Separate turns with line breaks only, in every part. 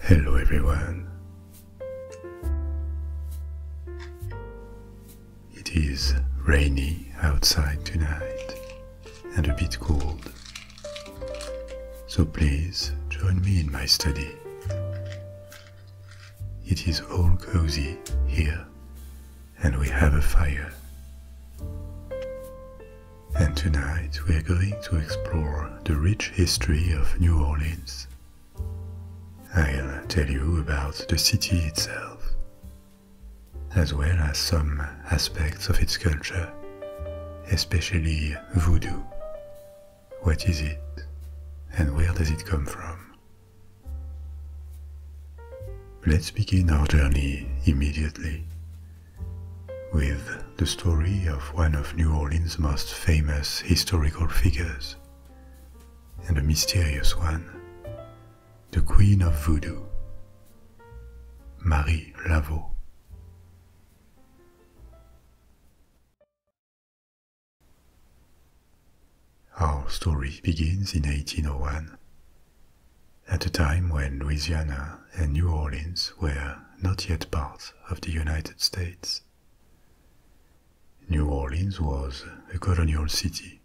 Hello, everyone. It is rainy outside tonight and a bit cold. So please join me in my study. It is all cozy here and we have a fire. And tonight we are going to explore the rich history of New Orleans. I'll tell you about the city itself, as well as some aspects of its culture, especially voodoo. What is it, and where does it come from? Let's begin our journey immediately with the story of one of New Orleans' most famous historical figures, and a mysterious one, the Queen of Voodoo, Marie Laveau. Our story begins in 1801, at a time when Louisiana and New Orleans were not yet part of the United States. New Orleans was a colonial city,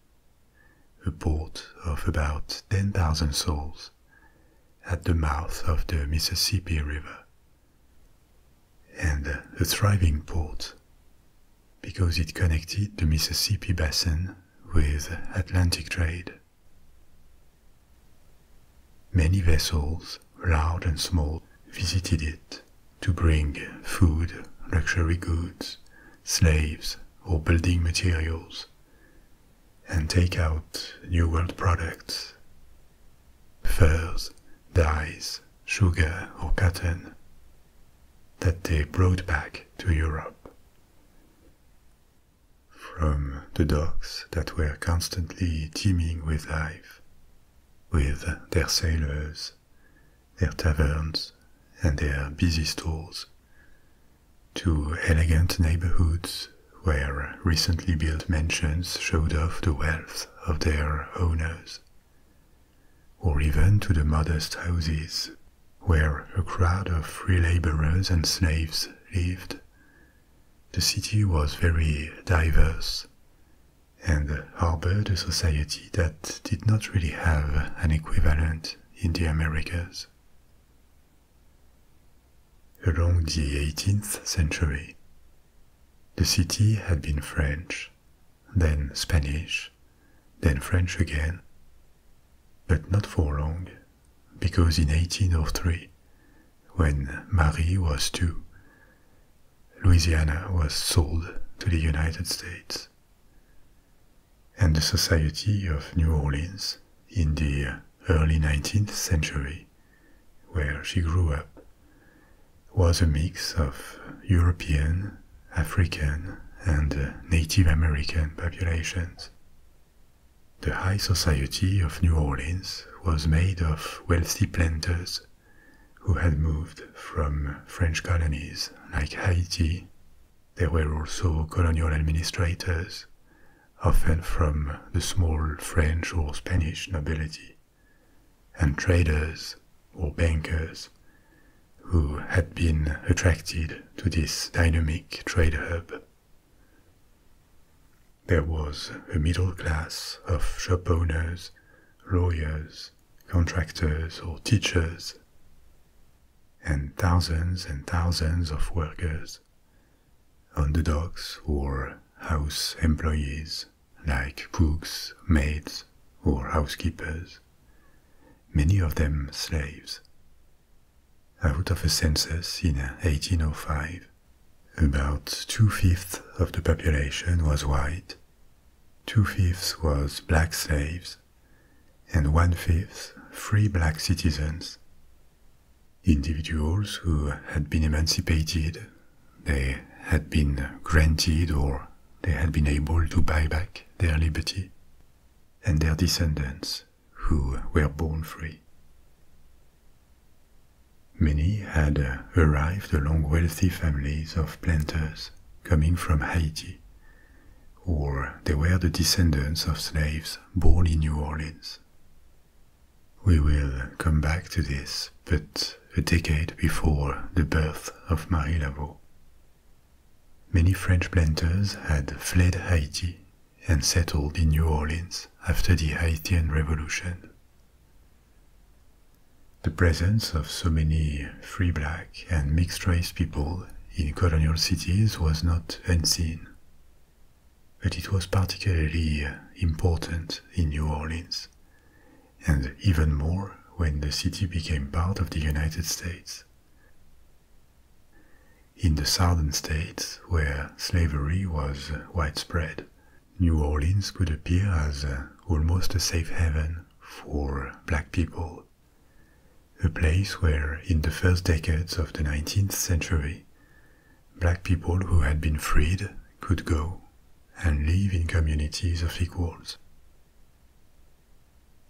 a port of about 10,000 souls at the mouth of the Mississippi River, and a thriving port because it connected the Mississippi basin with Atlantic trade. Many vessels, large and small, visited it to bring food, luxury goods, slaves, or building materials, and take out New World products, furs, dyes, sugar, or cotton that they brought back to Europe. From the docks that were constantly teeming with life, with their sailors, their taverns, and their busy stores, to elegant neighborhoods where recently built mansions showed off the wealth of their owners or even to the modest houses where a crowd of free laborers and slaves lived. The city was very diverse and harbored a society that did not really have an equivalent in the Americas. Along the 18th century, the city had been French, then Spanish, then French again. But not for long, because in 1803, when Marie was two, Louisiana was sold to the United States. And the Society of New Orleans, in the early 19th century, where she grew up, was a mix of European African and uh, Native American populations. The high society of New Orleans was made of wealthy planters who had moved from French colonies like Haiti. There were also colonial administrators, often from the small French or Spanish nobility, and traders or bankers who had been attracted to this dynamic trade hub. There was a middle class of shop owners, lawyers, contractors, or teachers, and thousands and thousands of workers, underdogs or house employees like cooks, maids, or housekeepers, many of them slaves. Out of a census in 1805, about two-fifths of the population was white, two-fifths was black slaves, and one-fifth free black citizens. Individuals who had been emancipated, they had been granted or they had been able to buy back their liberty and their descendants who were born free. Many had uh, arrived along wealthy families of planters coming from Haiti, or they were the descendants of slaves born in New Orleans. We will come back to this, but a decade before the birth of Marie Laveau, Many French planters had fled Haiti and settled in New Orleans after the Haitian Revolution. The presence of so many free black and mixed race people in colonial cities was not unseen, but it was particularly important in New Orleans, and even more when the city became part of the United States. In the southern states, where slavery was widespread, New Orleans could appear as uh, almost a safe haven for black people, a place where, in the first decades of the 19th century, black people who had been freed could go and live in communities of equals.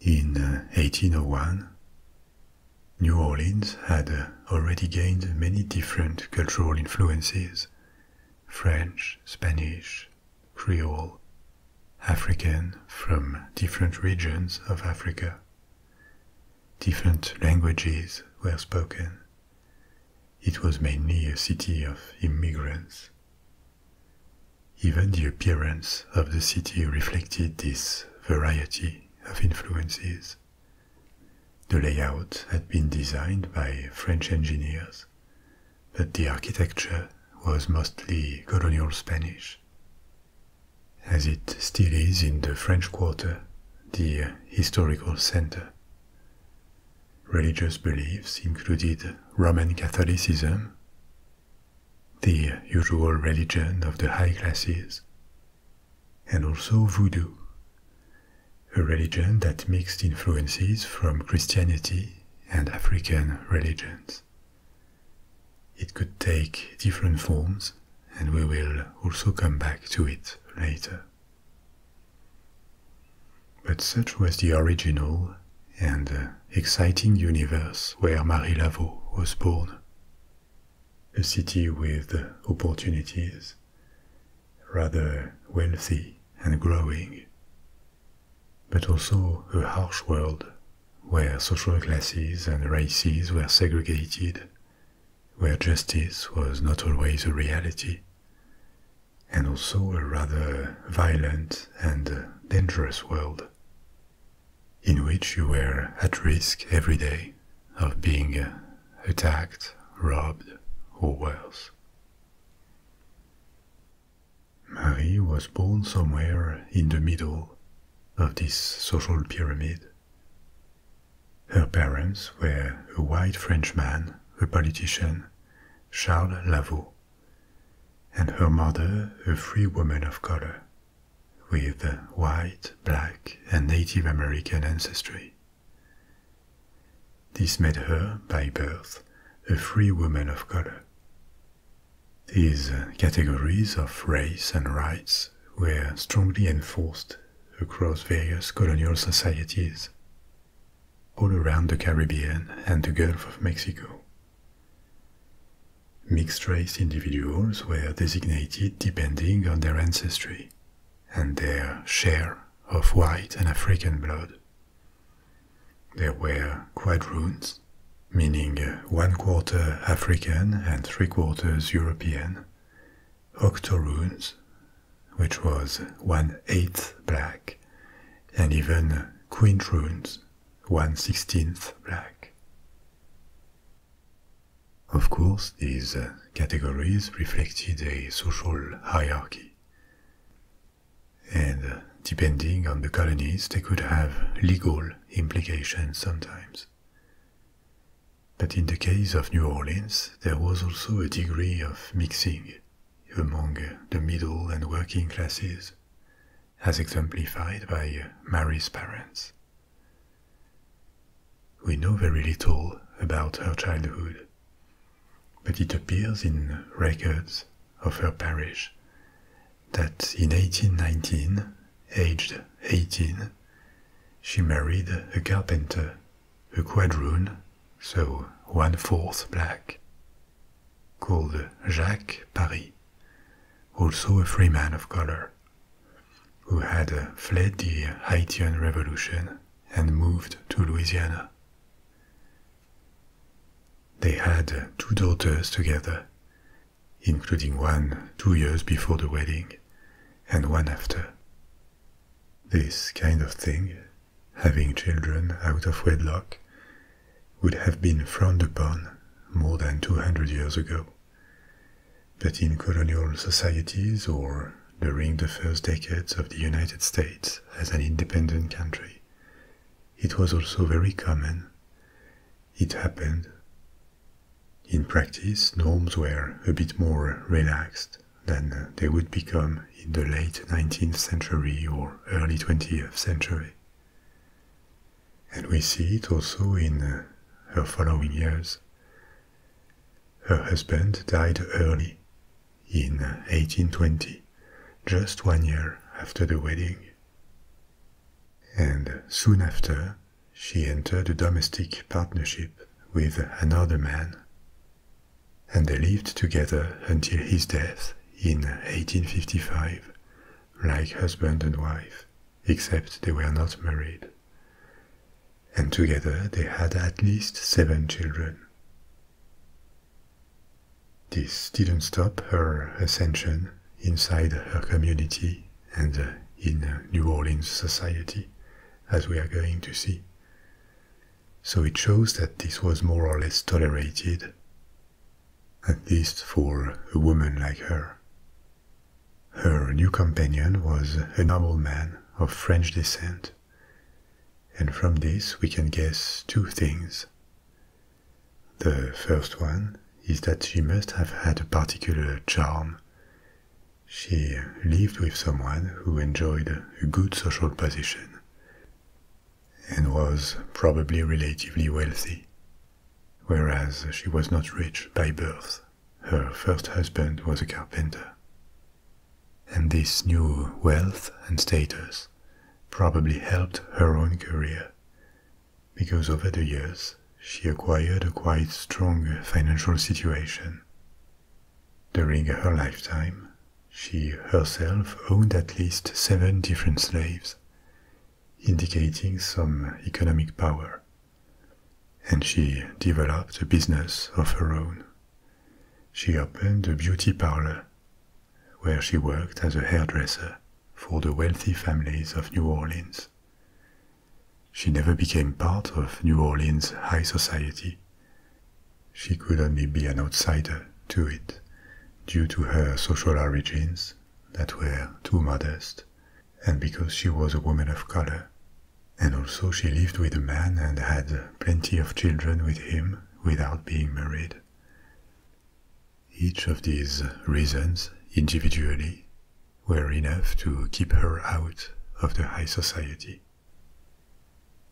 In 1801, uh, New Orleans had uh, already gained many different cultural influences French, Spanish, Creole, African from different regions of Africa. Different languages were spoken. It was mainly a city of immigrants. Even the appearance of the city reflected this variety of influences. The layout had been designed by French engineers, but the architecture was mostly colonial Spanish. As it still is in the French Quarter, the historical center. Religious beliefs included Roman Catholicism, the usual religion of the high classes, and also voodoo, a religion that mixed influences from Christianity and African religions. It could take different forms, and we will also come back to it later. But such was the original and uh, exciting universe where Marie Laveau was born. A city with opportunities, rather wealthy and growing, but also a harsh world where social classes and races were segregated, where justice was not always a reality, and also a rather violent and dangerous world in which you were at risk every day of being uh, attacked, robbed, or worse. Marie was born somewhere in the middle of this social pyramid. Her parents were a white Frenchman, a politician, Charles Lavaux, and her mother a free woman of color with white, black, and Native American ancestry. This made her, by birth, a free woman of color. These uh, categories of race and rights were strongly enforced across various colonial societies all around the Caribbean and the Gulf of Mexico. Mixed race individuals were designated depending on their ancestry and their share of white and African blood. There were quadroons, meaning one quarter African and three quarters European, octoroons, which was one eighth black, and even quintroons, one sixteenth black. Of course, these uh, categories reflected a social hierarchy. And uh, depending on the colonies, they could have legal implications sometimes. But in the case of New Orleans, there was also a degree of mixing among the middle and working classes, as exemplified by Mary's parents. We know very little about her childhood, but it appears in records of her parish that in 1819, aged 18, she married a carpenter, a quadroon, so one fourth black, called Jacques Paris, also a free man of color who had fled the Haitian Revolution and moved to Louisiana. They had two daughters together, including one two years before the wedding and one after. This kind of thing, having children out of wedlock, would have been frowned upon more than 200 years ago. But in colonial societies or during the first decades of the United States as an independent country, it was also very common. It happened. In practice, norms were a bit more relaxed than they would become in the late 19th century or early 20th century and we see it also in uh, her following years. Her husband died early, in 1820, uh, just one year after the wedding. And soon after, she entered a domestic partnership with another man. And they lived together until his death in 1855, uh, like husband and wife except they were not married. And together they had at least seven children. This didn't stop her ascension inside her community and uh, in uh, New Orleans society, as we are going to see. So it shows that this was more or less tolerated, at least for a woman like her, her new companion was a nobleman of French descent, and from this we can guess two things. The first one is that she must have had a particular charm. She lived with someone who enjoyed a good social position and was probably relatively wealthy. Whereas she was not rich by birth, her first husband was a carpenter. And this new wealth and status probably helped her own career, because over the years she acquired a quite strong financial situation. During her lifetime, she herself owned at least seven different slaves, indicating some economic power and she developed a business of her own. She opened a beauty parlor where she worked as a hairdresser for the wealthy families of New Orleans. She never became part of New Orleans high society. She could only be an outsider to it due to her social origins that were too modest and because she was a woman of color. And also, she lived with a man and had plenty of children with him without being married. Each of these reasons, individually, were enough to keep her out of the high society.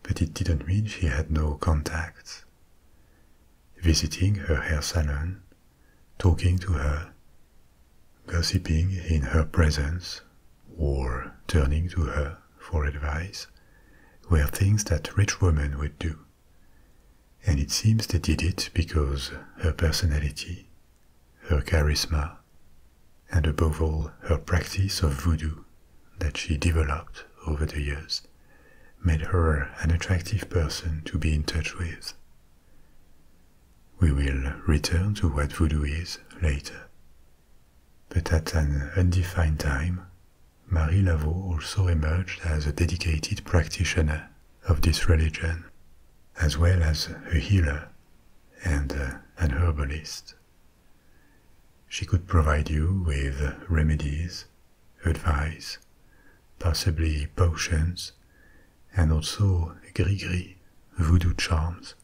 But it didn't mean she had no contacts. Visiting her hair salon, talking to her, gossiping in her presence, or turning to her for advice, were things that rich women would do. And it seems they did it because her personality, her charisma, and above all her practice of voodoo that she developed over the years made her an attractive person to be in touch with we will return to what voodoo is later. But at an undefined time, Marie Laveau also emerged as a dedicated practitioner of this religion, as well as a healer and an herbalist. She could provide you with remedies, advice, possibly potions, and also gris-gris voodoo charms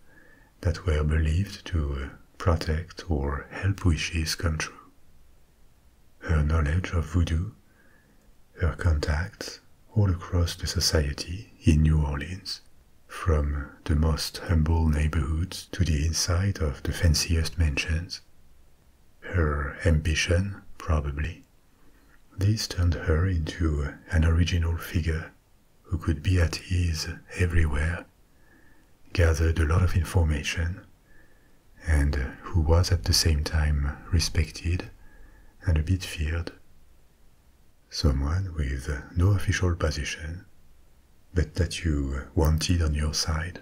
that were believed to uh, protect or help wishes come true. Her knowledge of voodoo, her contacts all across the society in New Orleans, from the most humble neighborhoods to the inside of the fanciest mansions, her ambition, probably, this turned her into an original figure who could be at ease everywhere, gathered a lot of information, and who was at the same time respected and a bit feared. Someone with no official position, but that you wanted on your side.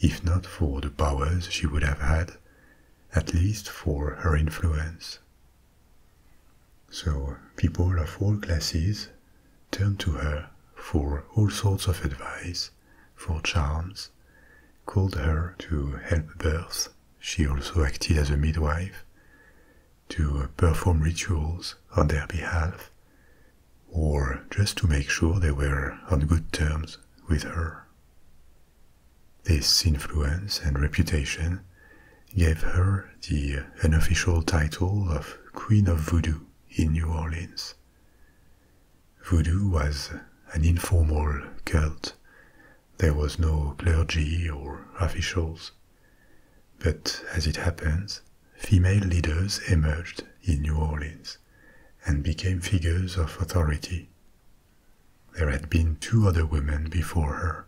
If not for the powers she would have had, at least for her influence so people of all classes turned to her for all sorts of advice, for charms, called her to help births. She also acted as a midwife, to perform rituals on their behalf, or just to make sure they were on good terms with her. This influence and reputation gave her the unofficial title of Queen of Voodoo in New Orleans. Voodoo was an informal cult. There was no clergy or officials. But as it happens, female leaders emerged in New Orleans and became figures of authority there had been two other women before her.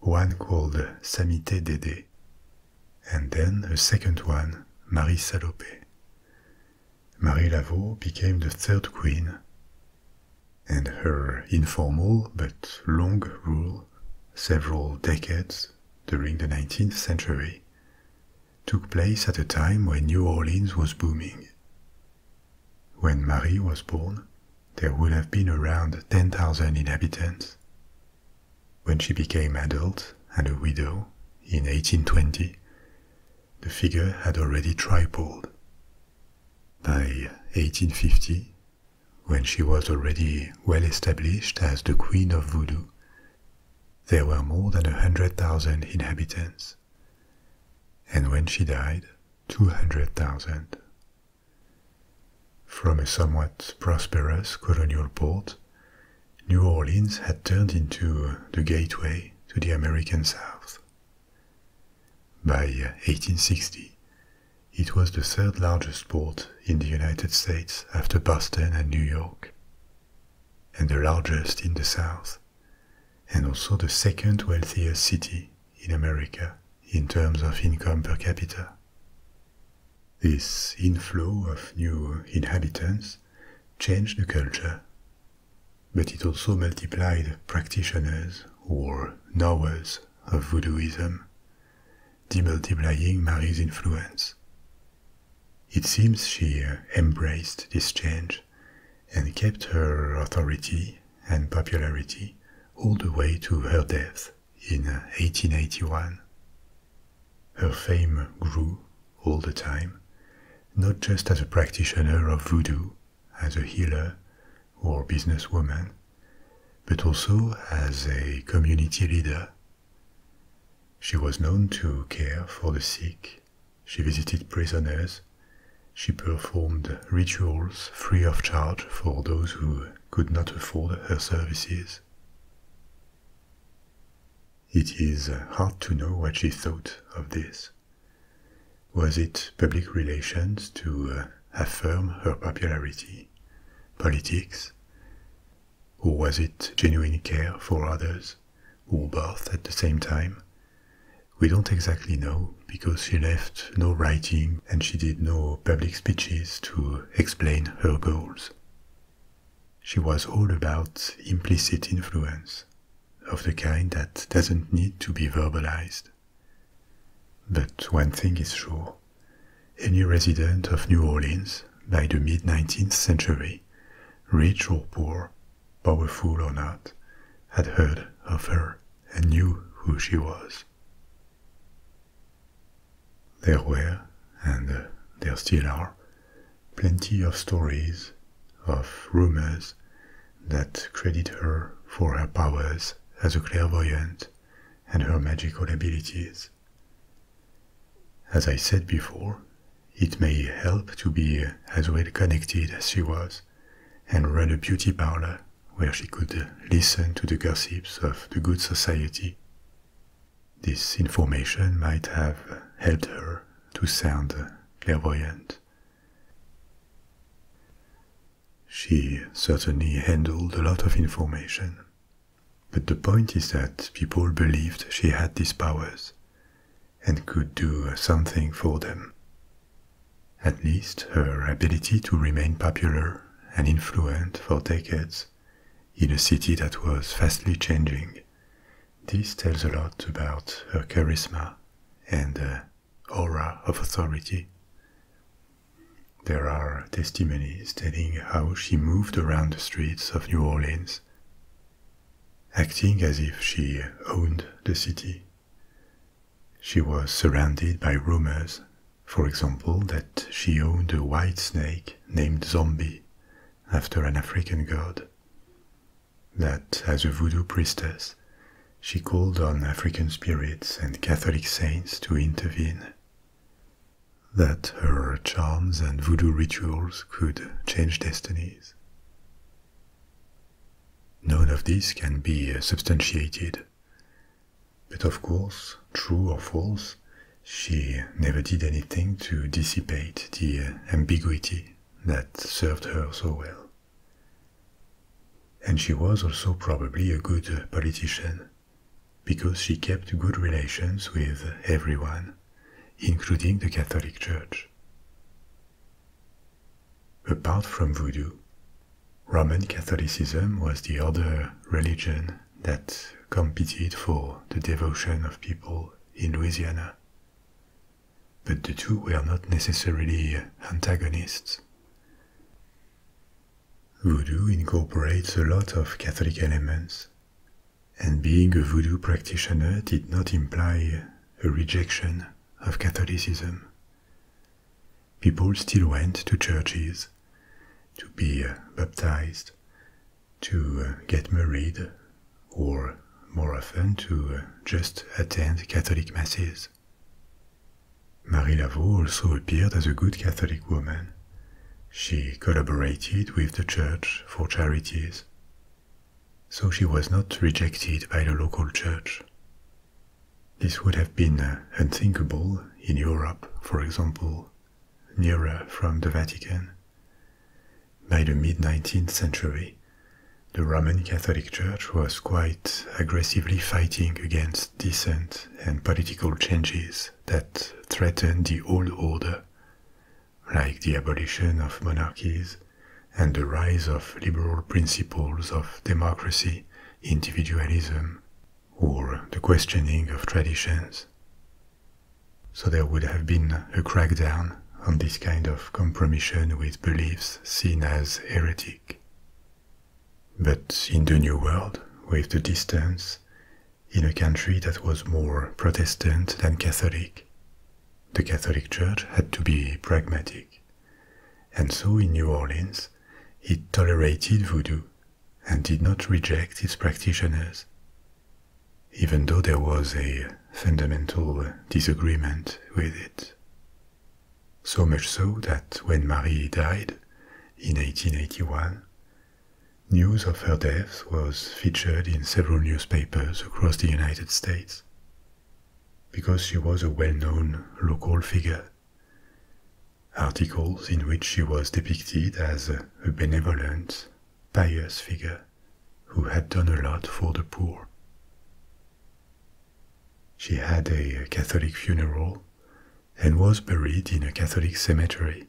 One called Samite Dede, and then a second one, Marie Salope. Marie Laveau became the third queen, and her informal but long rule, several decades during the 19th century, took place at a time when New Orleans was booming. When Marie was born, there would have been around 10,000 inhabitants. When she became adult and a widow in 1820, the figure had already tripled. By 1850, when she was already well established as the queen of voodoo, there were more than a hundred thousand inhabitants. And when she died, 200,000. From a somewhat prosperous colonial port, New Orleans had turned into the gateway to the American South. By 1860, it was the third largest port in the United States after Boston and New York, and the largest in the South, and also the second wealthiest city in America in terms of income per capita. This inflow of new inhabitants changed the culture, but it also multiplied practitioners or knowers of voodooism, demultiplying Marie's influence. It seems she embraced this change and kept her authority and popularity all the way to her death in 1881. Uh, her fame grew all the time, not just as a practitioner of voodoo, as a healer, or businesswoman, but also as a community leader. She was known to care for the sick, she visited prisoners, she performed rituals free of charge for those who could not afford her services. It is hard to know what she thought of this. Was it public relations to uh, affirm her popularity, politics, or was it genuine care for others, or both at the same time, we don't exactly know because she left no writing and she did no public speeches to explain her goals. She was all about implicit influence, of the kind that doesn't need to be verbalized. But one thing is sure any resident of New Orleans by the mid 19th century, rich or poor, powerful or not, had heard of her and knew who she was. There were, and there still are, plenty of stories, of rumors, that credit her for her powers as a clairvoyant and her magical abilities. As I said before, it may help to be as well connected as she was and run a beauty parlor where she could listen to the gossips of the good society. This information might have helped her to sound clairvoyant. She certainly handled a lot of information, but the point is that people believed she had these powers and could do something for them. At least her ability to remain popular and influential for decades in a city that was fastly changing. This tells a lot about her charisma and aura of authority. There are testimonies telling how she moved around the streets of New Orleans, acting as if she owned the city she was surrounded by rumors, for example, that she owned a white snake named Zombie, after an African god. That as a voodoo priestess, she called on African spirits and Catholic saints to intervene. That her charms and voodoo rituals could change destinies. None of this can be substantiated, but of course, true or false, she never did anything to dissipate the ambiguity that served her so well. And she was also probably a good politician, because she kept good relations with everyone, including the Catholic Church. Apart from voodoo, Roman Catholicism was the other religion that competed for the devotion of people in Louisiana. But the two were not necessarily antagonists. Voodoo incorporates a lot of Catholic elements, and being a voodoo practitioner did not imply a rejection of Catholicism People still went to churches to be uh, baptized, to uh, get married, or more often to uh, just attend Catholic masses. Marie Laveau also appeared as a good Catholic woman. She collaborated with the church for charities, so she was not rejected by the local church. This would have been uh, unthinkable in Europe, for example, nearer from the Vatican. By the mid 19th century, the Roman Catholic Church was quite aggressively fighting against dissent and political changes that threatened the old order, like the abolition of monarchies and the rise of liberal principles of democracy individualism, or the questioning of traditions. So there would have been a crackdown on this kind of compromission with beliefs seen as heretic. But in the New World, with the distance, in a country that was more Protestant than Catholic, the Catholic Church had to be pragmatic and so in New Orleans he tolerated voodoo and did not reject its practitioners. Even though there was a fundamental disagreement with it. So much so that when Marie died in 1881, news of her death was featured in several newspapers across the United States because she was a well known local figure articles in which she was depicted as a benevolent, pious figure who had done a lot for the poor. She had a Catholic funeral and was buried in a Catholic cemetery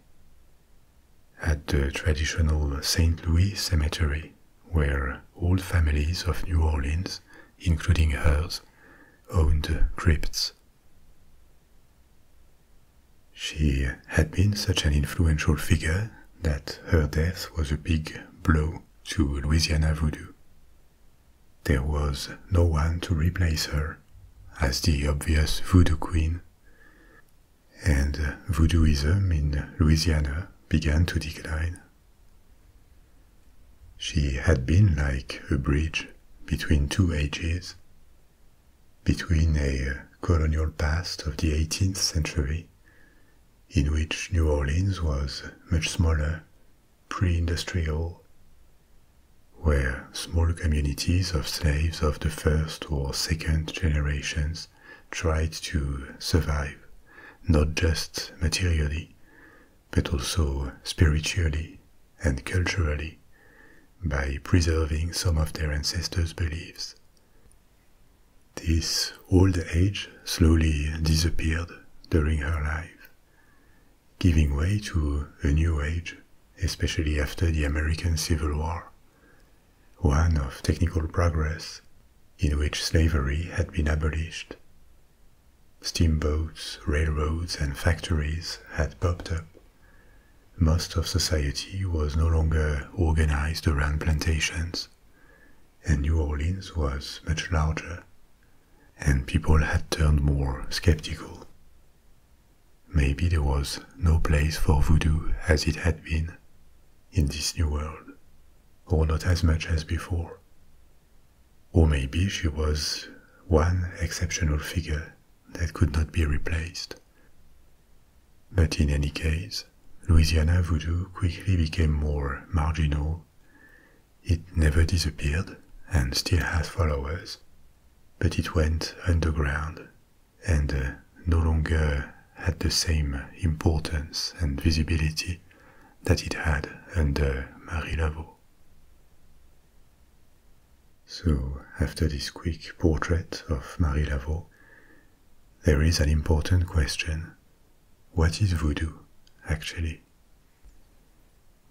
at the traditional St. Louis Cemetery, where all families of New Orleans, including hers, owned crypts. She had been such an influential figure that her death was a big blow to Louisiana voodoo. There was no one to replace her as the obvious voodoo queen, and voodooism in Louisiana began to decline. She had been like a bridge between two ages, between a colonial past of the 18th century, in which New Orleans was much smaller, pre industrial, where small communities of slaves of the first or second generations tried to survive, not just materially, but also spiritually and culturally by preserving some of their ancestors' beliefs. This old age slowly disappeared during her life, giving way to a new age, especially after the American Civil War, one of technical progress in which slavery had been abolished Steamboats, railroads, and factories had popped up. Most of society was no longer organized around plantations, and New Orleans was much larger, and people had turned more skeptical. Maybe there was no place for voodoo as it had been in this new world, or not as much as before. Or maybe she was one exceptional figure that could not be replaced. But in any case, Louisiana voodoo quickly became more marginal. It never disappeared and still has followers, but it went underground and uh, no longer had the same importance and visibility that it had under Marie Laveau. So, after this quick portrait of Marie Laveau, there is an important question. What is voodoo, actually?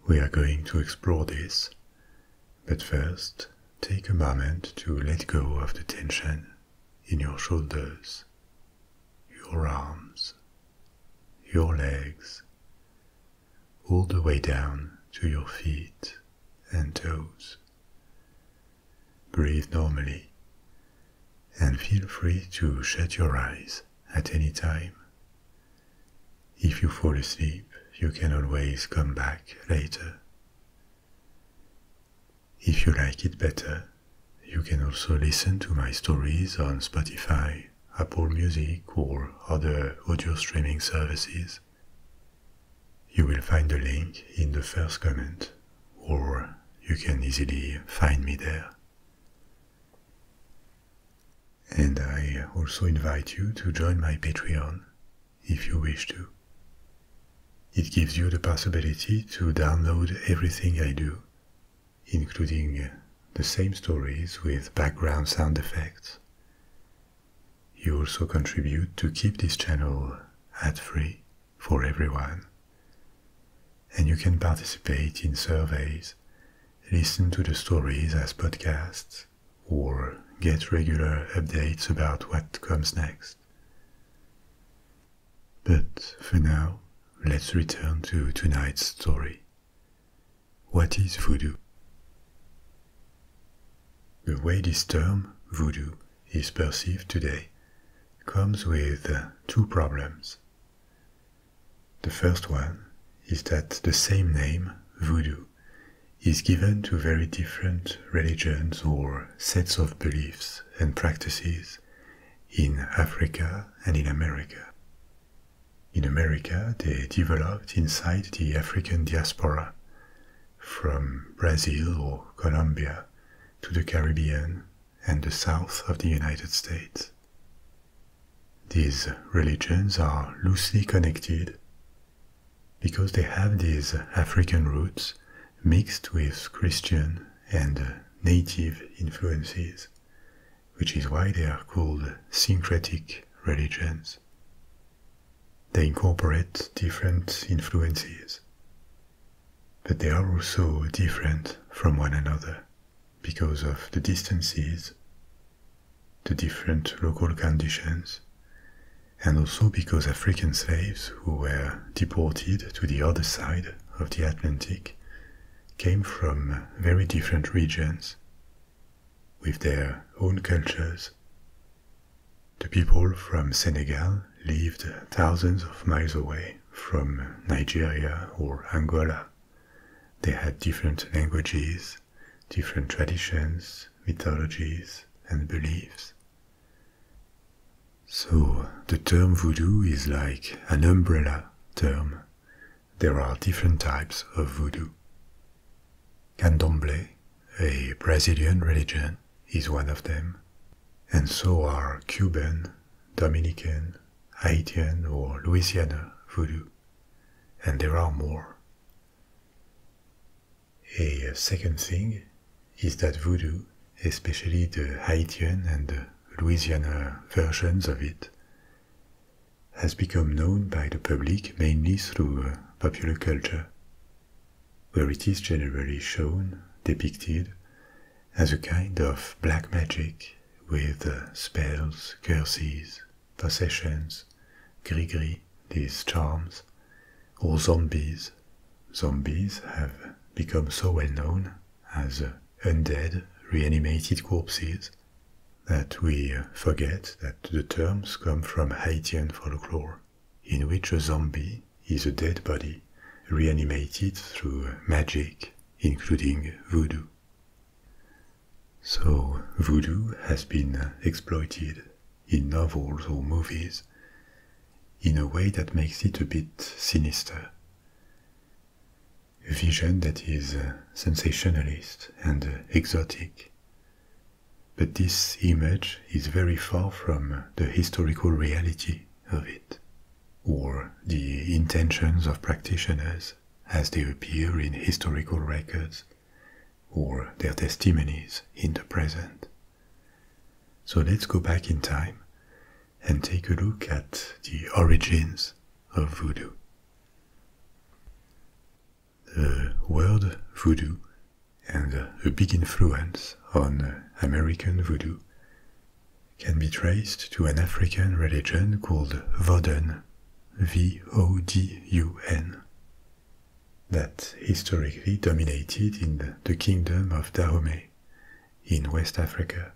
We are going to explore this, but first, take a moment to let go of the tension in your shoulders, your arms, your legs, all the way down to your feet and toes. Breathe normally and feel free to shut your eyes at any time. If you fall asleep, you can always come back later. If you like it better, you can also listen to my stories on Spotify Apple Music or other audio streaming services. You will find the link in the first comment, or you can easily find me there. And I also invite you to join my Patreon if you wish to. It gives you the possibility to download everything I do, including the same stories with background sound effects. You also contribute to keep this channel ad free for everyone. And you can participate in surveys, listen to the stories as podcasts, or get regular updates about what comes next. But for now, let's return to tonight's story what is voodoo? The way this term, voodoo, is perceived today comes with uh, two problems. The first one is that the same name, voodoo, is given to very different religions or sets of beliefs and practices in Africa and in America. In America, they developed inside the African diaspora, from Brazil or Colombia to the Caribbean and the south of the United States. These religions are loosely connected because they have these African roots mixed with Christian and native influences which is why they are called syncretic religions. They incorporate different influences, but they are also different from one another because of the distances, the different local conditions, and also because African slaves who were deported to the other side of the Atlantic came from very different regions with their own cultures. The people from Senegal lived thousands of miles away from Nigeria or Angola. They had different languages, different traditions, mythologies, and beliefs. So, the term voodoo is like an umbrella term there are different types of voodoo. Candomblé, a Brazilian religion, is one of them, and so are Cuban, Dominican, Haitian, or Louisiana voodoo, and there are more. A second thing is that voodoo, especially the Haitian and Louisiana versions of it, has become known by the public mainly through uh, popular culture, where it is generally shown, depicted, as a kind of black magic with uh, spells, curses, possessions, grigri, these charms, or zombies. Zombies have become so well known as uh, undead, reanimated corpses that we forget that the terms come from Haitian folklore, in which a zombie is a dead body reanimated through magic, including voodoo. So, voodoo has been exploited in novels or movies in a way that makes it a bit sinister. A vision that is sensationalist and exotic but this image is very far from the historical reality of it, or the intentions of practitioners as they appear in historical records, or their testimonies in the present. So let's go back in time and take a look at the origins of voodoo the word voodoo and a big influence on American voodoo can be traced to an African religion called Vodun, V-O-D-U-N, that historically dominated in the kingdom of Dahomey in West Africa,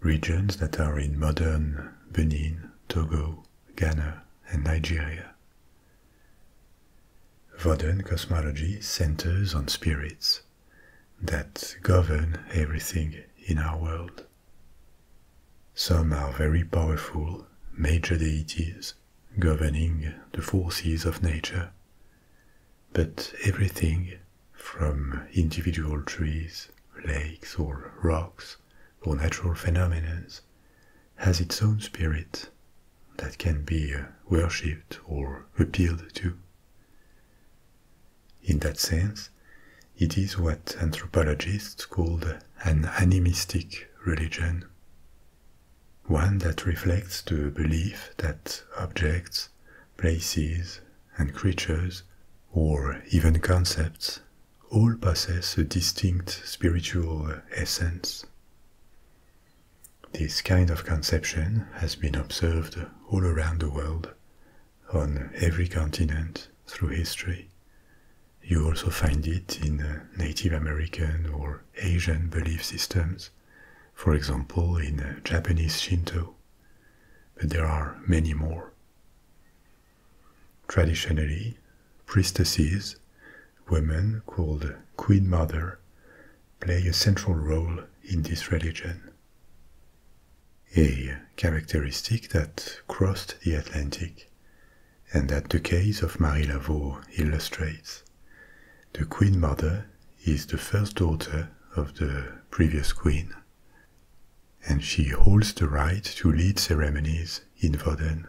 regions that are in modern Benin, Togo, Ghana, and Nigeria. Vodun cosmology centers on spirits that govern everything in our world. Some are very powerful, major deities governing the forces of nature, but everything, from individual trees, lakes, or rocks, or natural phenomena, has its own spirit that can be uh, worshipped or appealed to. In that sense, it is what anthropologists call an animistic religion, one that reflects the belief that objects, places, and creatures, or even concepts, all possess a distinct spiritual essence. This kind of conception has been observed all around the world, on every continent through history. You also find it in uh, Native American or Asian belief systems, for example in uh, Japanese Shinto, but there are many more. Traditionally, priestesses, women called Queen Mother, play a central role in this religion. A characteristic that crossed the Atlantic, and that the case of Marie Laveau illustrates. The Queen Mother is the first daughter of the previous queen, and she holds the right to lead ceremonies in Varden.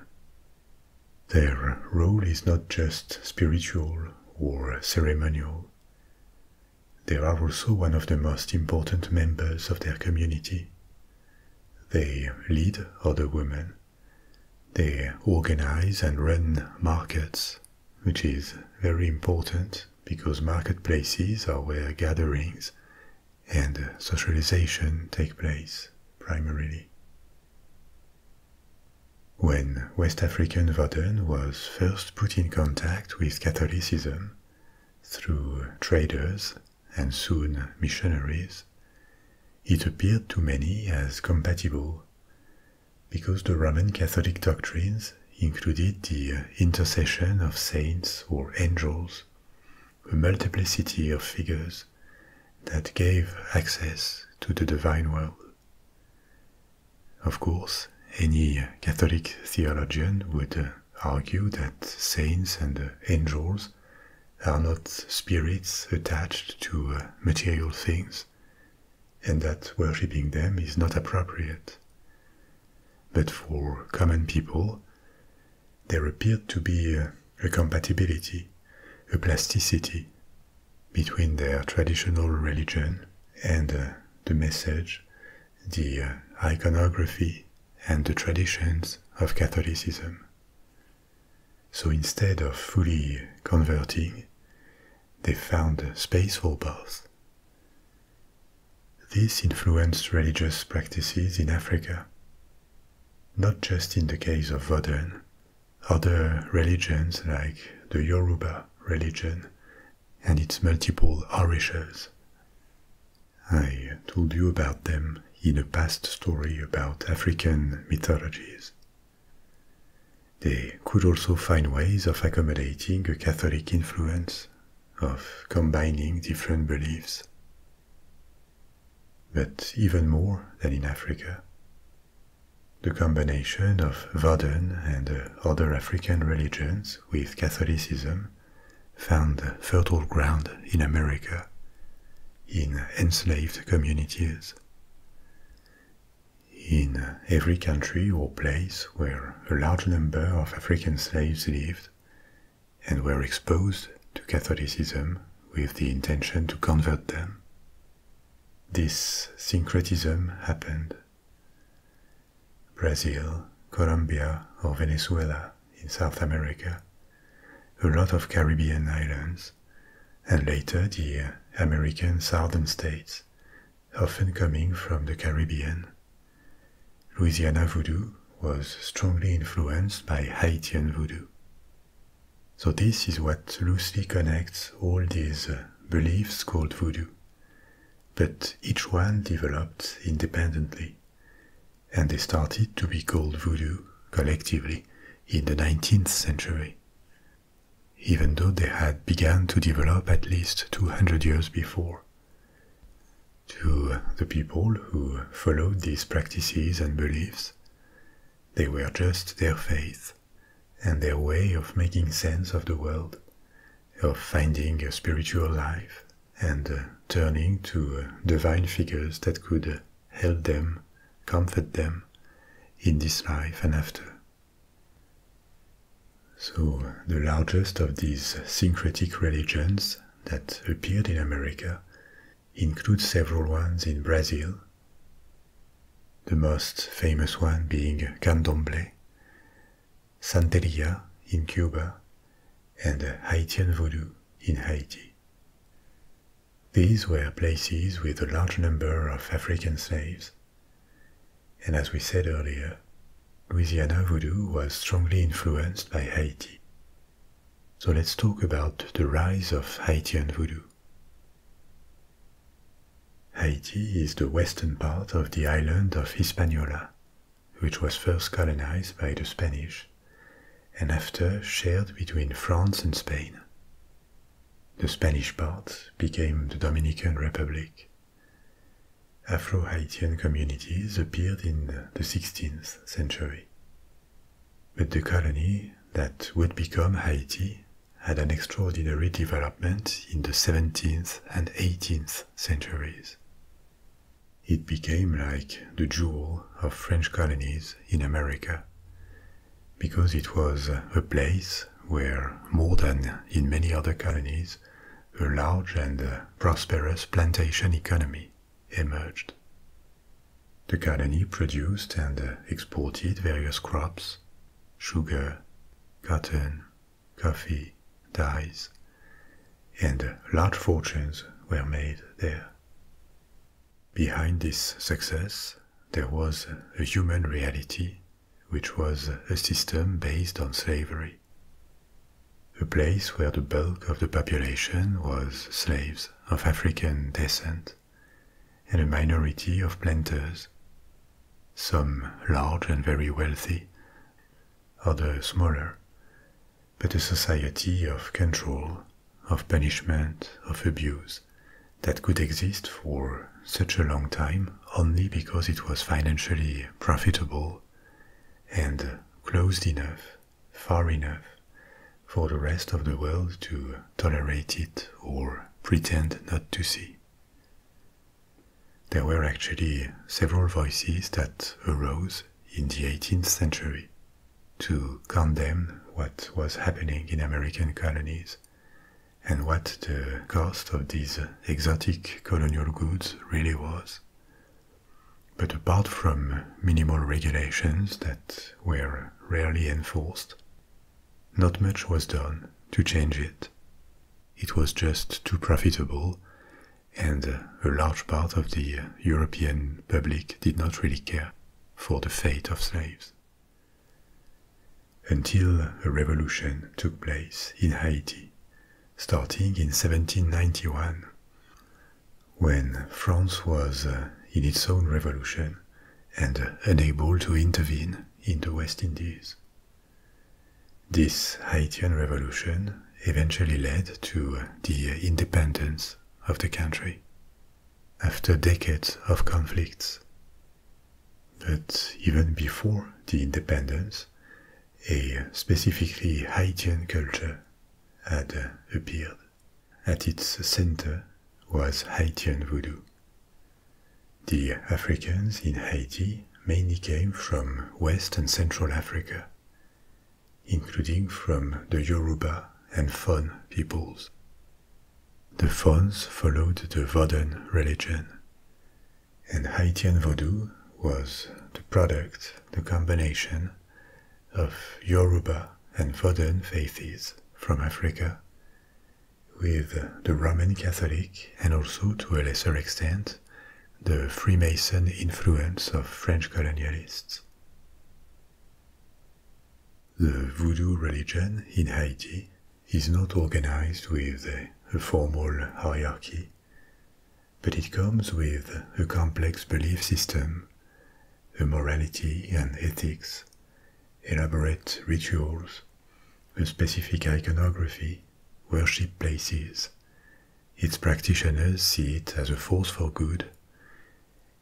Their role is not just spiritual or ceremonial. They are also one of the most important members of their community. They lead other women. They organize and run markets, which is very important because marketplaces are where gatherings and uh, socialization take place primarily. When West African Vodun was first put in contact with Catholicism through traders and soon missionaries, it appeared to many as compatible because the Roman Catholic doctrines included the uh, intercession of saints or angels a multiplicity of figures that gave access to the divine world. Of course, any Catholic theologian would uh, argue that saints and uh, angels are not spirits attached to uh, material things, and that worshipping them is not appropriate. But for common people, there appeared to be a compatibility, a plasticity between their traditional religion and uh, the message, the uh, iconography, and the traditions of Catholicism. So instead of fully converting, they found space for both. This influenced religious practices in Africa, not just in the case of Vodun. Other religions like the Yoruba religion and its multiple orishas. I told you about them in a past story about African mythologies. They could also find ways of accommodating a Catholic influence, of combining different beliefs but even more than in Africa. The combination of Vodun and other African religions with Catholicism found fertile ground in America, in enslaved communities. In every country or place where a large number of African slaves lived, and were exposed to Catholicism with the intention to convert them. This syncretism happened. Brazil, Colombia, or Venezuela in South America, a lot of Caribbean islands, and later the American southern states, often coming from the Caribbean. Louisiana voodoo was strongly influenced by Haitian voodoo. So, this is what loosely connects all these uh, beliefs called voodoo. But each one developed independently, and they started to be called voodoo collectively in the 19th century, even though they had begun to develop at least 200 years before. To the people who followed these practices and beliefs, they were just their faith and their way of making sense of the world, of finding a spiritual life and uh, turning to uh, divine figures that could uh, help them, comfort them in this life and after. So, the largest of these syncretic religions that appeared in America includes several ones in Brazil, the most famous one being Candomblé, Santeria in Cuba, and Haitian Voodoo in Haiti. These were places with a large number of African slaves. And as we said earlier, Louisiana Voodoo was strongly influenced by Haiti, so let's talk about the rise of Haitian voodoo. Haiti is the western part of the island of Hispaniola, which was first colonized by the Spanish and after shared between France and Spain. The Spanish part became the Dominican Republic. Afro Haitian communities appeared in the 16th century, but the colony that would become Haiti had an extraordinary development in the 17th and 18th centuries. It became like the jewel of French colonies in America, because it was a place where, more than in many other colonies, a large and prosperous plantation economy emerged. The colony produced and exported various crops sugar, cotton, coffee, dyes, and large fortunes were made there. Behind this success, there was a human reality, which was a system based on slavery. A place where the bulk of the population was slaves of African descent and a minority of planters, some large and very wealthy, others smaller, but a society of control, of punishment, of abuse that could exist for such a long time only because it was financially profitable and closed enough far enough for the rest of the world to tolerate it or pretend not to see. There were actually several voices that arose in the 18th century to condemn what was happening in American colonies and what the cost of these exotic colonial goods really was. But apart from minimal regulations that were rarely enforced. Not much was done to change it. It was just too profitable, and uh, a large part of the uh, European public did not really care for the fate of slaves. Until a revolution took place in Haiti, starting in 1791. When France was uh, in its own revolution and uh, unable to intervene in the West Indies. This Haitian revolution eventually led to uh, the independence of the country after decades of conflicts. But even before the independence, a specifically Haitian culture had appeared. At its center was Haitian Voodoo. The Africans in Haiti mainly came from West and Central Africa, including from the Yoruba and Fon peoples. The Fons followed the Vodun religion, and Haitian Voodoo was the product, the combination of Yoruba and Vodun faiths from Africa, with the Roman Catholic and also, to a lesser extent, the Freemason influence of French colonialists. The voodoo religion in Haiti is not organized with a formal hierarchy, but it comes with a complex belief system the morality and ethics, elaborate rituals, a specific iconography, worship places. Its practitioners see it as a force for good,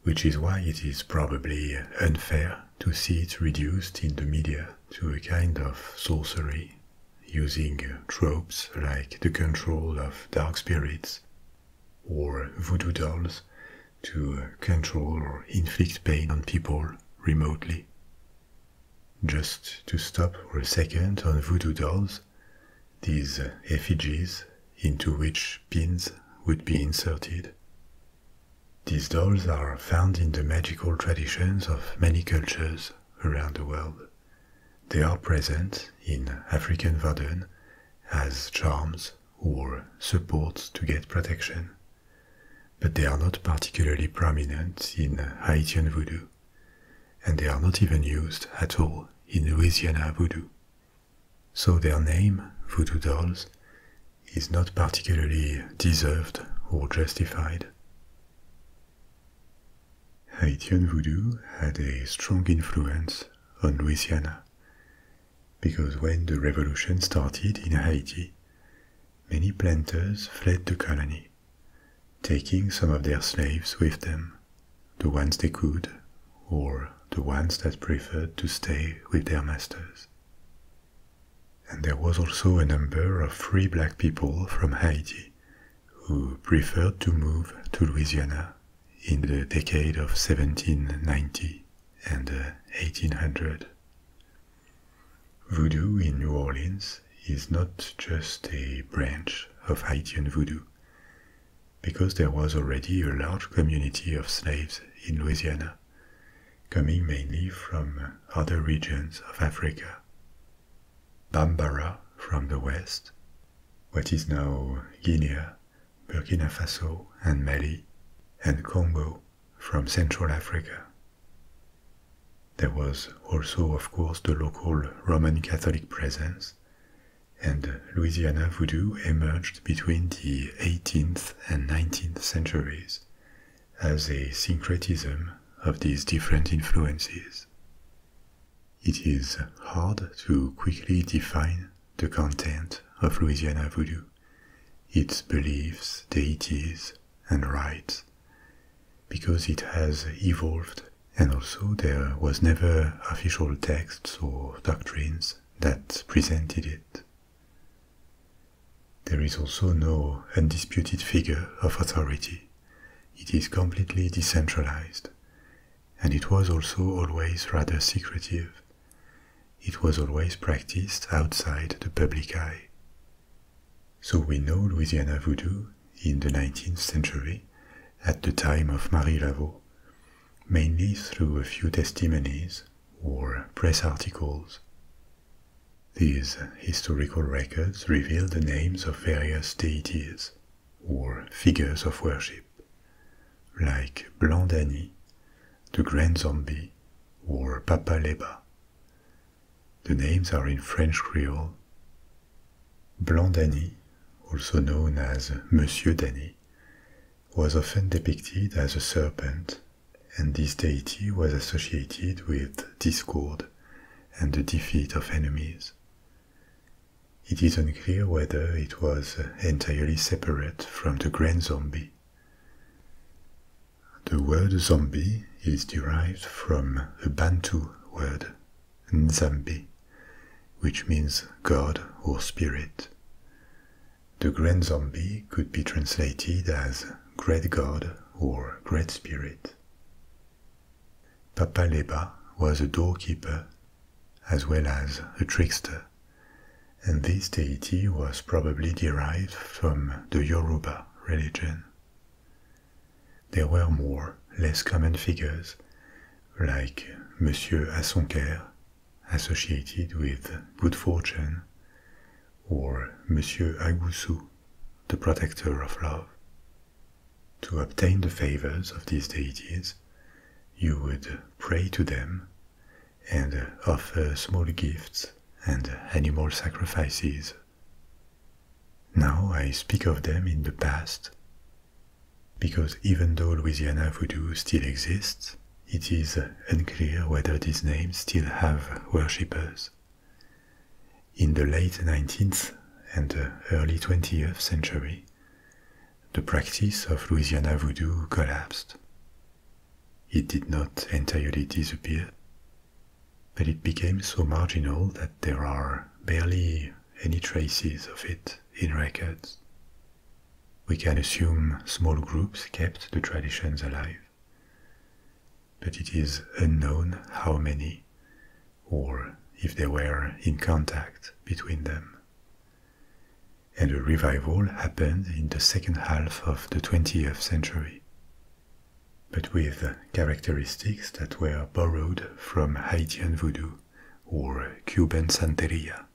which is why it is probably unfair to see it reduced in the media to a kind of sorcery, using tropes like the control of dark spirits or voodoo dolls to control or inflict pain on people remotely. Just to stop for a second on voodoo dolls, these effigies into which pins would be inserted. These dolls are found in the magical traditions of many cultures around the world. They are present in African Vodun as charms or supports to get protection, but they are not particularly prominent in Haitian voodoo, and they are not even used at all in Louisiana voodoo. So their name, voodoo dolls, is not particularly deserved or justified. Haitian voodoo had a strong influence on Louisiana, because when the revolution started in Haiti, many planters fled the colony, taking some of their slaves with them, the ones they could, or the ones that preferred to stay with their masters. And there was also a number of free black people from Haiti who preferred to move to Louisiana in the decade of 1790 and 1800. Uh, voodoo in New Orleans is not just a branch of Haitian voodoo, because there was already a large community of slaves in Louisiana, coming mainly from other regions of Africa. Bambara from the west, what is now Guinea Burkina Faso and Mali, and Congo from Central Africa. There was also, of course, the local Roman Catholic presence, and Louisiana voodoo emerged between the 18th and 19th centuries as a syncretism of these different influences. It is hard to quickly define the content of Louisiana voodoo its beliefs, deities, and rites, because it has evolved and also there was never official texts or doctrines that presented it. There is also no undisputed figure of authority. It is completely decentralized, and it was also always rather secretive it was always practiced outside the public eye. So we know Louisiana voodoo in the 19th century, at the time of Marie Laveau, mainly through a few testimonies or press articles. These historical records reveal the names of various deities or figures of worship, like Blandani, the Grand Zombie, or Papa Leba. The names are in French Creole. Blandani, also known as Monsieur Danny, was often depicted as a serpent, and this deity was associated with discord and the defeat of enemies. It is unclear whether it was entirely separate from the Grand Zombie the word zombie is derived from a Bantu word, Nzambi, which means god or spirit. The Grand Zombie could be translated as Great God or Great Spirit. Papa Leba was a doorkeeper as well as a trickster and this deity was probably derived from the Yoruba religion. There were more, less common figures, like Monsieur Asonker, associated with good fortune, or Monsieur Agusu, the protector of love. To obtain the favors of these deities, you would pray to them and uh, offer small gifts and uh, animal sacrifices. Now I speak of them in the past, because even though Louisiana voodoo still exists, it is unclear whether these names still have worshippers. In the late 19th and uh, early 20th century, the practice of Louisiana voodoo collapsed it did not entirely disappear, but it became so marginal that there are barely any traces of it in records. We can assume small groups kept the traditions alive, but it is unknown how many or if they were in contact between them and a revival happened in the second half of the 20th century. But with characteristics that were borrowed from Haitian voodoo or Cuban Santeria.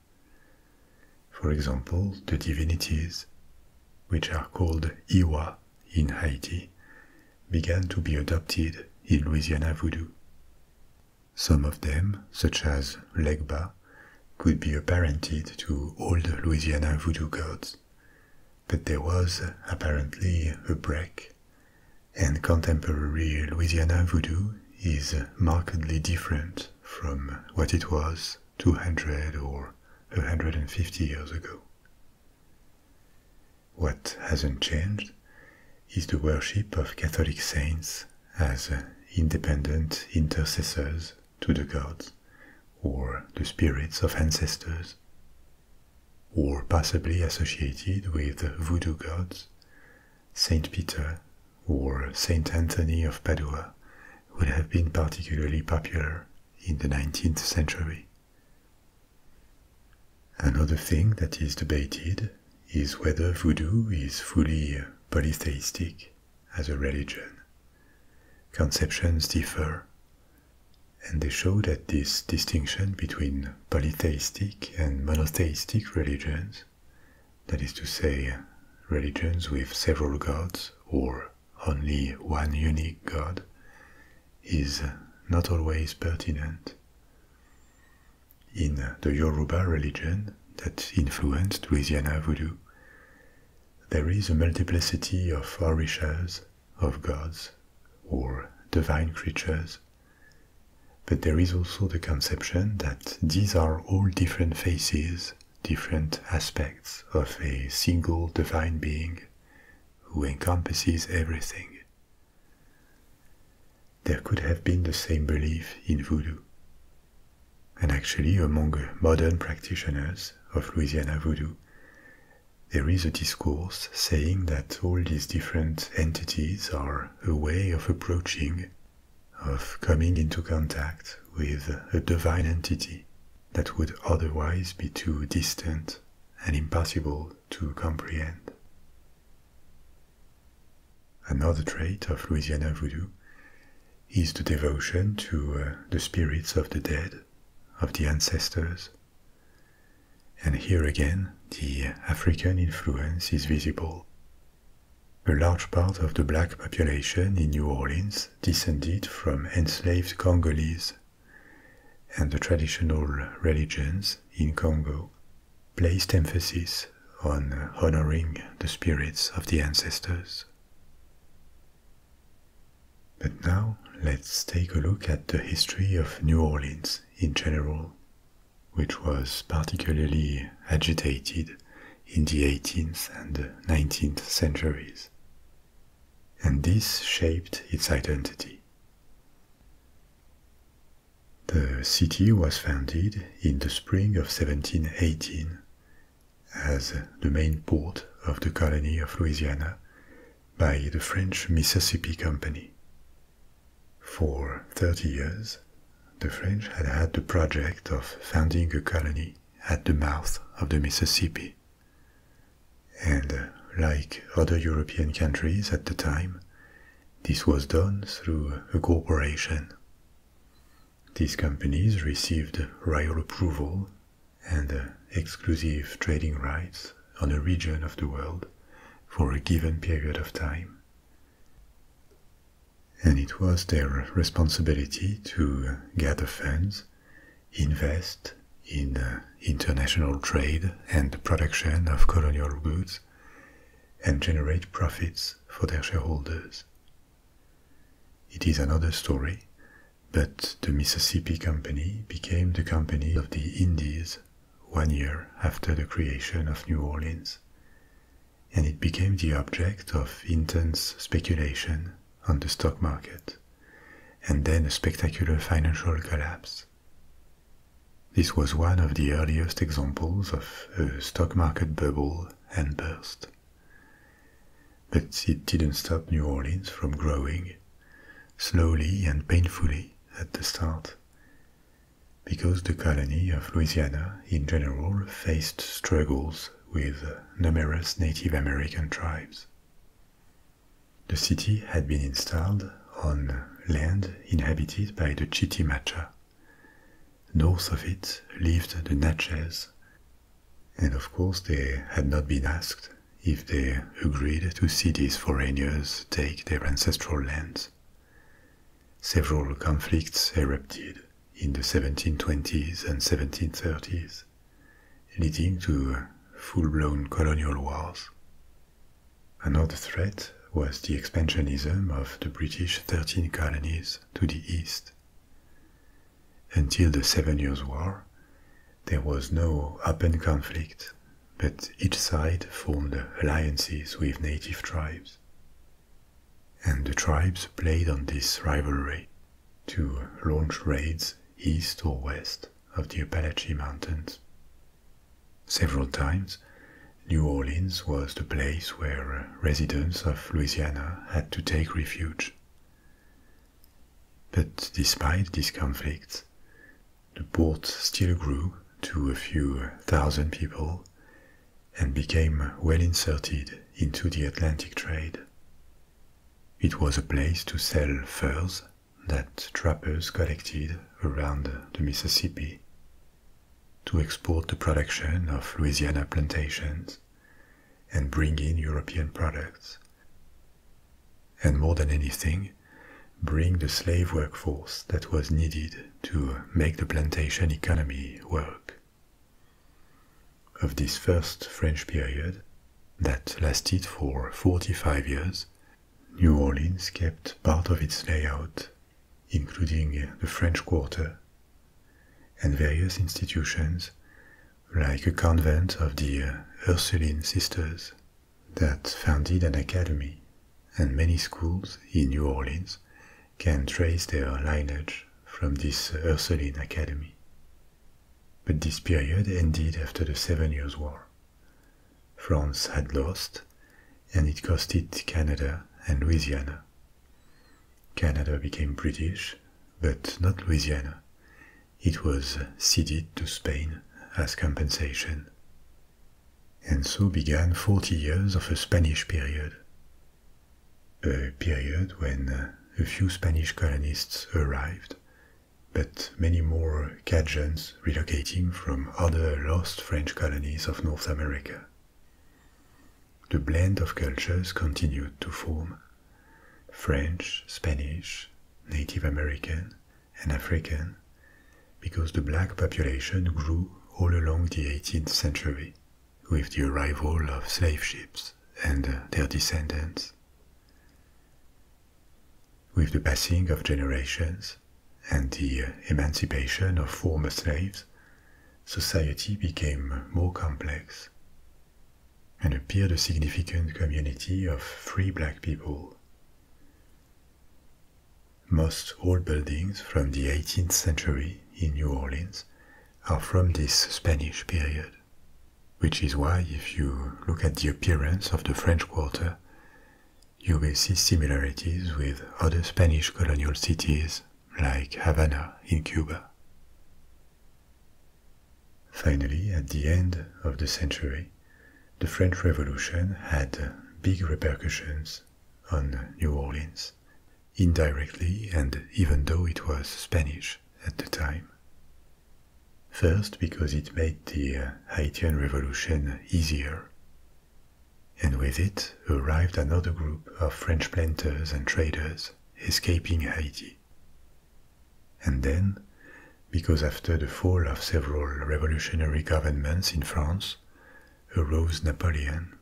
For example, the divinities, which are called Iwa in Haiti, began to be adopted in Louisiana voodoo. Some of them, such as Legba, could be apparented to old Louisiana voodoo gods. But there was apparently a break, and contemporary Louisiana voodoo is markedly different from what it was 200 or 150 years ago. What hasn't changed is the worship of Catholic saints as independent intercessors to the gods or the spirits of ancestors, or possibly associated with voodoo gods, Saint Peter or Saint Anthony of Padua would have been particularly popular in the 19th century. Another thing that is debated is whether voodoo is fully polytheistic as a religion. Conceptions differ, and they show that this distinction between polytheistic and monotheistic religions, that is to say, religions with several gods or only one unique god, is not always pertinent. In the Yoruba religion that influenced Louisiana voodoo, there is a multiplicity of orishas, of gods, or divine creatures. But there is also the conception that these are all different faces, different aspects of a single divine being who encompasses everything. There could have been the same belief in voodoo. And actually, among modern practitioners of Louisiana voodoo, there is a discourse saying that all these different entities are a way of approaching, of coming into contact with a divine entity that would otherwise be too distant and impossible to comprehend. Another trait of Louisiana voodoo is the devotion to uh, the spirits of the dead, of the ancestors. And here again, the African influence is visible. A large part of the black population in New Orleans descended from enslaved Congolese, and the traditional religions in Congo placed emphasis on honoring the spirits of the ancestors. But now let's take a look at the history of New Orleans in general, which was particularly agitated in the 18th and 19th centuries. And this shaped its identity. The city was founded in the spring of 1718 as the main port of the colony of Louisiana by the French Mississippi Company. For 30 years, the French had had the project of founding a colony at the mouth of the Mississippi. And like other European countries at the time, this was done through a corporation. These companies received royal approval and uh, exclusive trading rights on a region of the world for a given period of time. And it was their responsibility to uh, gather funds, invest in uh, international trade and production of colonial goods, and generate profits for their shareholders. It is another story, but the Mississippi Company became the Company of the Indies one year after the creation of New Orleans, and it became the object of intense speculation on the stock market, and then a spectacular financial collapse. This was one of the earliest examples of a stock market bubble and burst. But it didn't stop New Orleans from growing, slowly and painfully at the start, because the colony of Louisiana in general faced struggles with numerous Native American tribes. The city had been installed on land inhabited by the Chitimacha. North of it lived the Natchez, and of course, they had not been asked if they agreed to see these foreigners take their ancestral lands. Several conflicts erupted in the 1720s and 1730s, leading to full blown colonial wars. Another threat was the expansionism of the British 13 colonies to the east. Until the Seven Years' War, there was no open conflict, but each side formed alliances with native tribes. And the tribes played on this rivalry to launch raids east or west of the Appalachian Mountains. Several times, New Orleans was the place where residents of Louisiana had to take refuge but despite these conflicts, the port still grew to a few thousand people and became well inserted into the Atlantic trade. It was a place to sell furs that trappers collected around the Mississippi, to export the production of Louisiana plantations, and bring in European products. And more than anything, bring the slave workforce that was needed to make the plantation economy work. Of this first French period, that lasted for 45 years, New Orleans kept part of its layout, including the French Quarter, and various institutions like a convent of the uh, Ursuline sisters that founded an academy, and many schools in New Orleans can trace their lineage from this uh, Ursuline academy. But this period ended after the Seven Years' War. France had lost, and it cost it Canada and Louisiana. Canada became British, but not Louisiana, it was ceded to Spain as compensation. And so began 40 years of a Spanish period. A period when uh, a few Spanish colonists arrived, but many more Cajuns relocating from other lost French colonies of North America. The blend of cultures continued to form, French, Spanish, Native American, and African, because the black population grew all along the 18th century with the arrival of slave ships and their descendants. With the passing of generations and the emancipation of former slaves, society became more complex and appeared a significant community of free black people. Most old buildings from the 18th century in New Orleans are from this Spanish period, which is why if you look at the appearance of the French Quarter, you will see similarities with other Spanish colonial cities like Havana in Cuba. Finally, at the end of the century, the French Revolution had big repercussions on New Orleans, indirectly and even though it was Spanish at the time. First, because it made the Haitian Revolution easier. And with it arrived another group of French planters and traders escaping Haiti. And then, because after the fall of several revolutionary governments in France, arose Napoleon.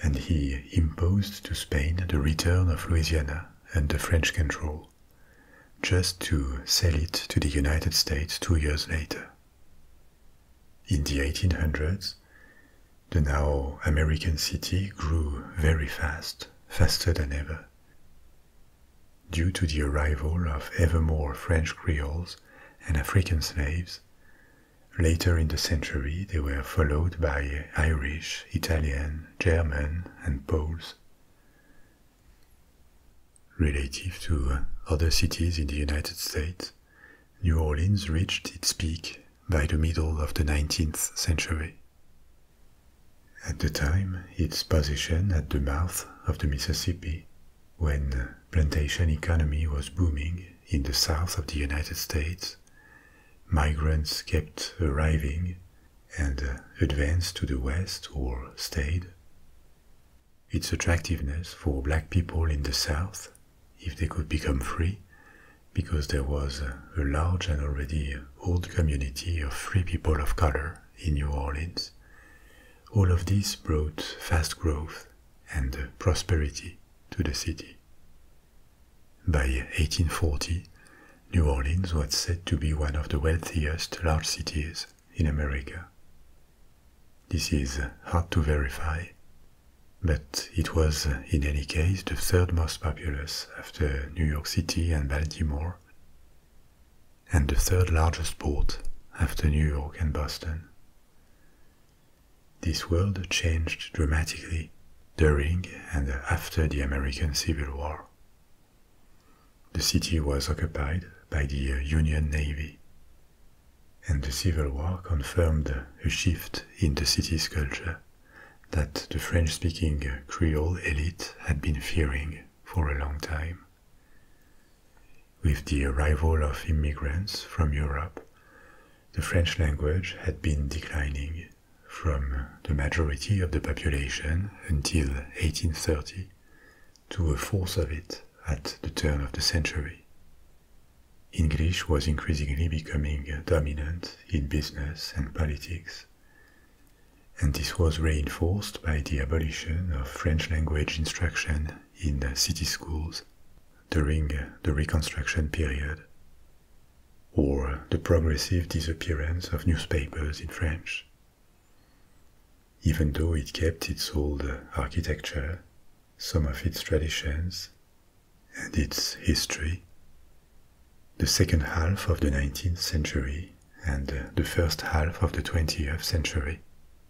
And he imposed to Spain the return of Louisiana under French control, just to sell it to the United States two years later. In the 1800s, the now American city grew very fast, faster than ever, Due to the arrival of ever more French Creoles and African slaves, later in the century they were followed by Irish, Italian, German, and Poles. Relative to other cities in the United States, New Orleans reached its peak by the middle of the 19th century. At the time, its position at the mouth of the Mississippi, when plantation economy was booming in the south of the United States, migrants kept arriving and uh, advanced to the west or stayed. Its attractiveness for black people in the south, if they could become free, because there was uh, a large and already uh, old community of free people of color in New Orleans. All of this brought fast growth and prosperity to the city. By 1840, New Orleans was said to be one of the wealthiest large cities in America. This is hard to verify, but it was in any case the third most populous after New York City and Baltimore and the third largest port after New York and Boston. This world changed dramatically during and after the American Civil War. The city was occupied by the Union Navy, and the Civil War confirmed a shift in the city's culture that the French speaking Creole elite had been fearing for a long time. With the arrival of immigrants from Europe, the French language had been declining from the majority of the population until 1830 to a fourth of it at the turn of the century. English was increasingly becoming dominant in business and politics, and this was reinforced by the abolition of French language instruction in city schools during the Reconstruction period, or the progressive disappearance of newspapers in French. Even though it kept its old architecture, some of its traditions, and its history, the second half of the 19th century and uh, the first half of the 20th century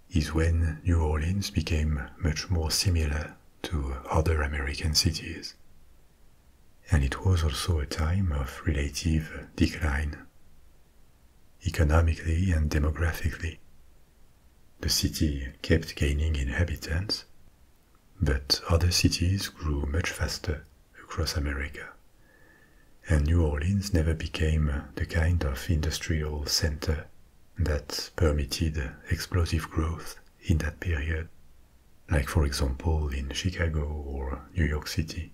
is when New Orleans became much more similar to other American cities. And it was also a time of relative decline, economically and demographically. The city kept gaining inhabitants, but other cities grew much faster across America. And New Orleans never became the kind of industrial center that permitted explosive growth in that period, like for example in Chicago or New York City.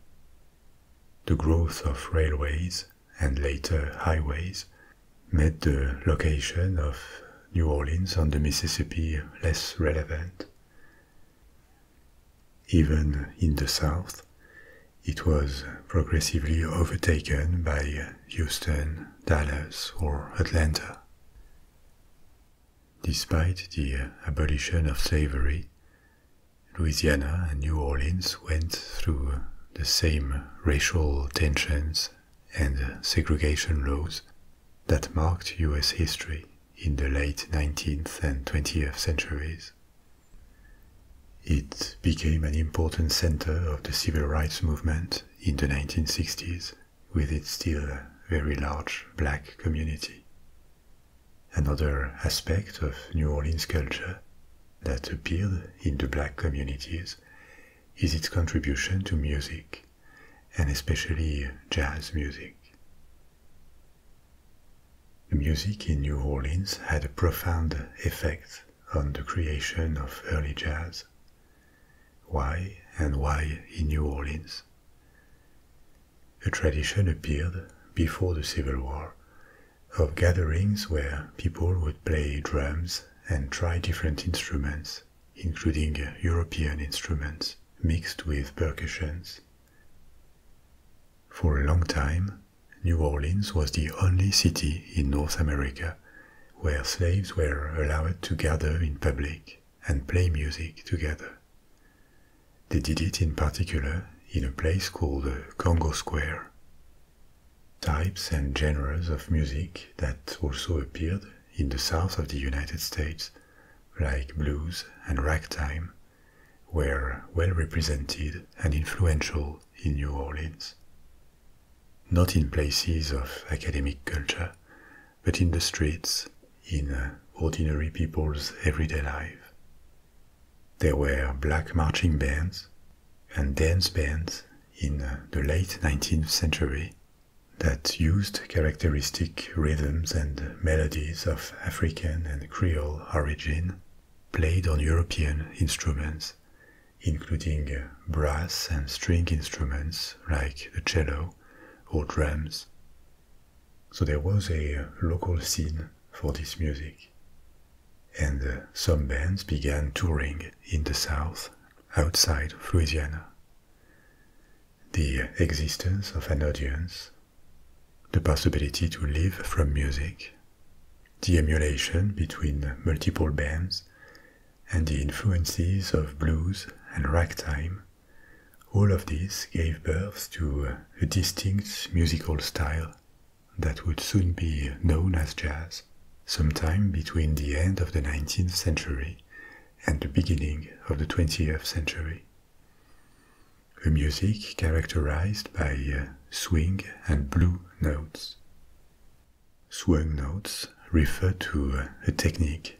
The growth of railways and later highways made the location of New Orleans on the Mississippi less relevant, even in the South, it was progressively overtaken by Houston, Dallas, or Atlanta. Despite the abolition of slavery, Louisiana and New Orleans went through the same racial tensions and segregation laws that marked US history in the late 19th and 20th centuries. It became an important center of the civil rights movement in the 1960s, with its still very large black community. Another aspect of New Orleans culture that appeared in the black communities is its contribution to music, and especially jazz music. The Music in New Orleans had a profound effect on the creation of early jazz. Why and why in New Orleans? A tradition appeared before the Civil War of gatherings where people would play drums and try different instruments, including European instruments mixed with percussions. For a long time, New Orleans was the only city in North America where slaves were allowed to gather in public and play music together. They did it in particular in a place called Congo Square. Types and genres of music that also appeared in the south of the United States, like blues and ragtime, were well represented and influential in New Orleans. Not in places of academic culture, but in the streets, in uh, ordinary people's everyday life. There were black marching bands and dance bands in uh, the late 19th century that used characteristic rhythms and melodies of African and Creole origin played on European instruments, including uh, brass and string instruments like the cello or drums. So there was a uh, local scene for this music. And uh, some bands began touring in the south outside of Louisiana. The existence of an audience the possibility to live from music, the emulation between multiple bands, and the influences of blues and ragtime, all of this gave birth to a distinct musical style that would soon be known as jazz, sometime between the end of the 19th century and the beginning of the 20th century. A music characterized by uh, swing and blue notes. Swing notes refer to uh, a technique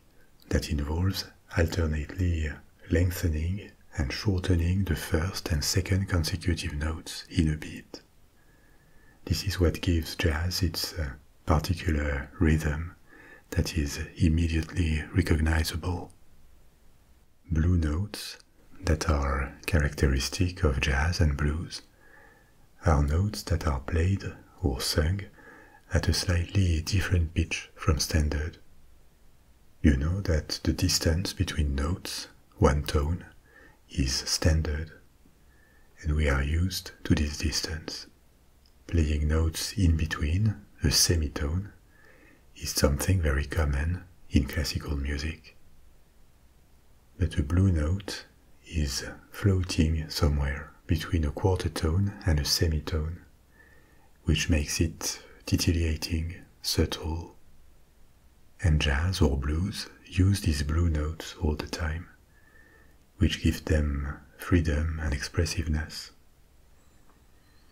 that involves alternately uh, lengthening and shortening the first and second consecutive notes in a beat. This is what gives jazz its particular rhythm that is immediately recognizable. Blue notes that are characteristic of jazz and blues are notes that are played or sung at a slightly different pitch from standard. You know that the distance between notes, one tone, is standard, and we are used to this distance. Playing notes in between, a semitone, is something very common in classical music. But a blue note is floating somewhere between a quarter tone and a semitone, which makes it titillating, subtle. And jazz or blues use these blue notes all the time, which give them freedom and expressiveness.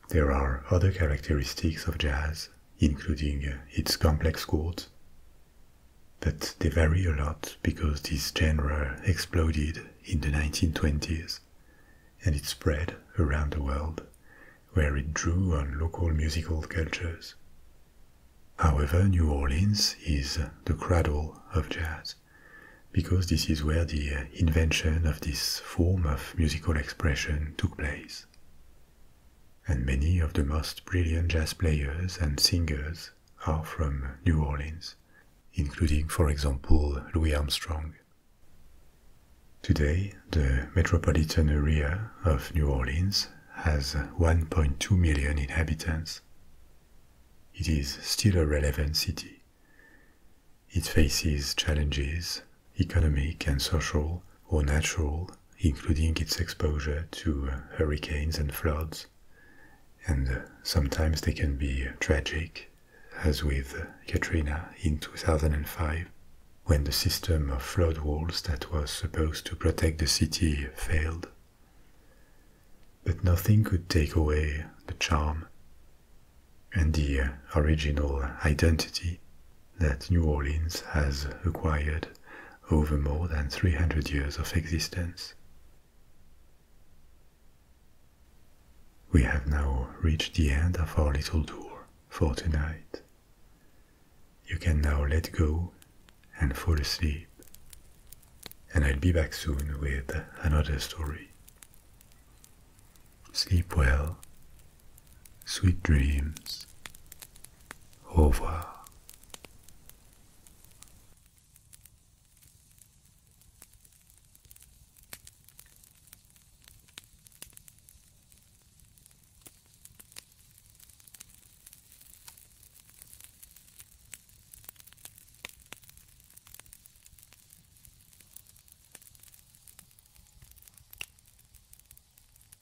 There are other characteristics of jazz, including uh, its complex chords. But they vary a lot because this genre exploded in the 1920s and it spread around the world, where it drew on local musical cultures. However, New Orleans is the cradle of jazz, because this is where the uh, invention of this form of musical expression took place and many of the most brilliant jazz players and singers are from New Orleans, including, for example, Louis Armstrong. Today, the metropolitan area of New Orleans has 1.2 million inhabitants. It is still a relevant city. It faces challenges economic and social, or natural, including its exposure to uh, hurricanes and floods. And uh, sometimes they can be tragic, as with Katrina in 2005, when the system of flood walls that was supposed to protect the city failed. But nothing could take away the charm and the uh, original identity that New Orleans has acquired over more than 300 years of existence. We have now reached the end of our little tour for tonight. You can now let go and fall asleep. And I'll be back soon with another story. Sleep well Sweet dreams. over.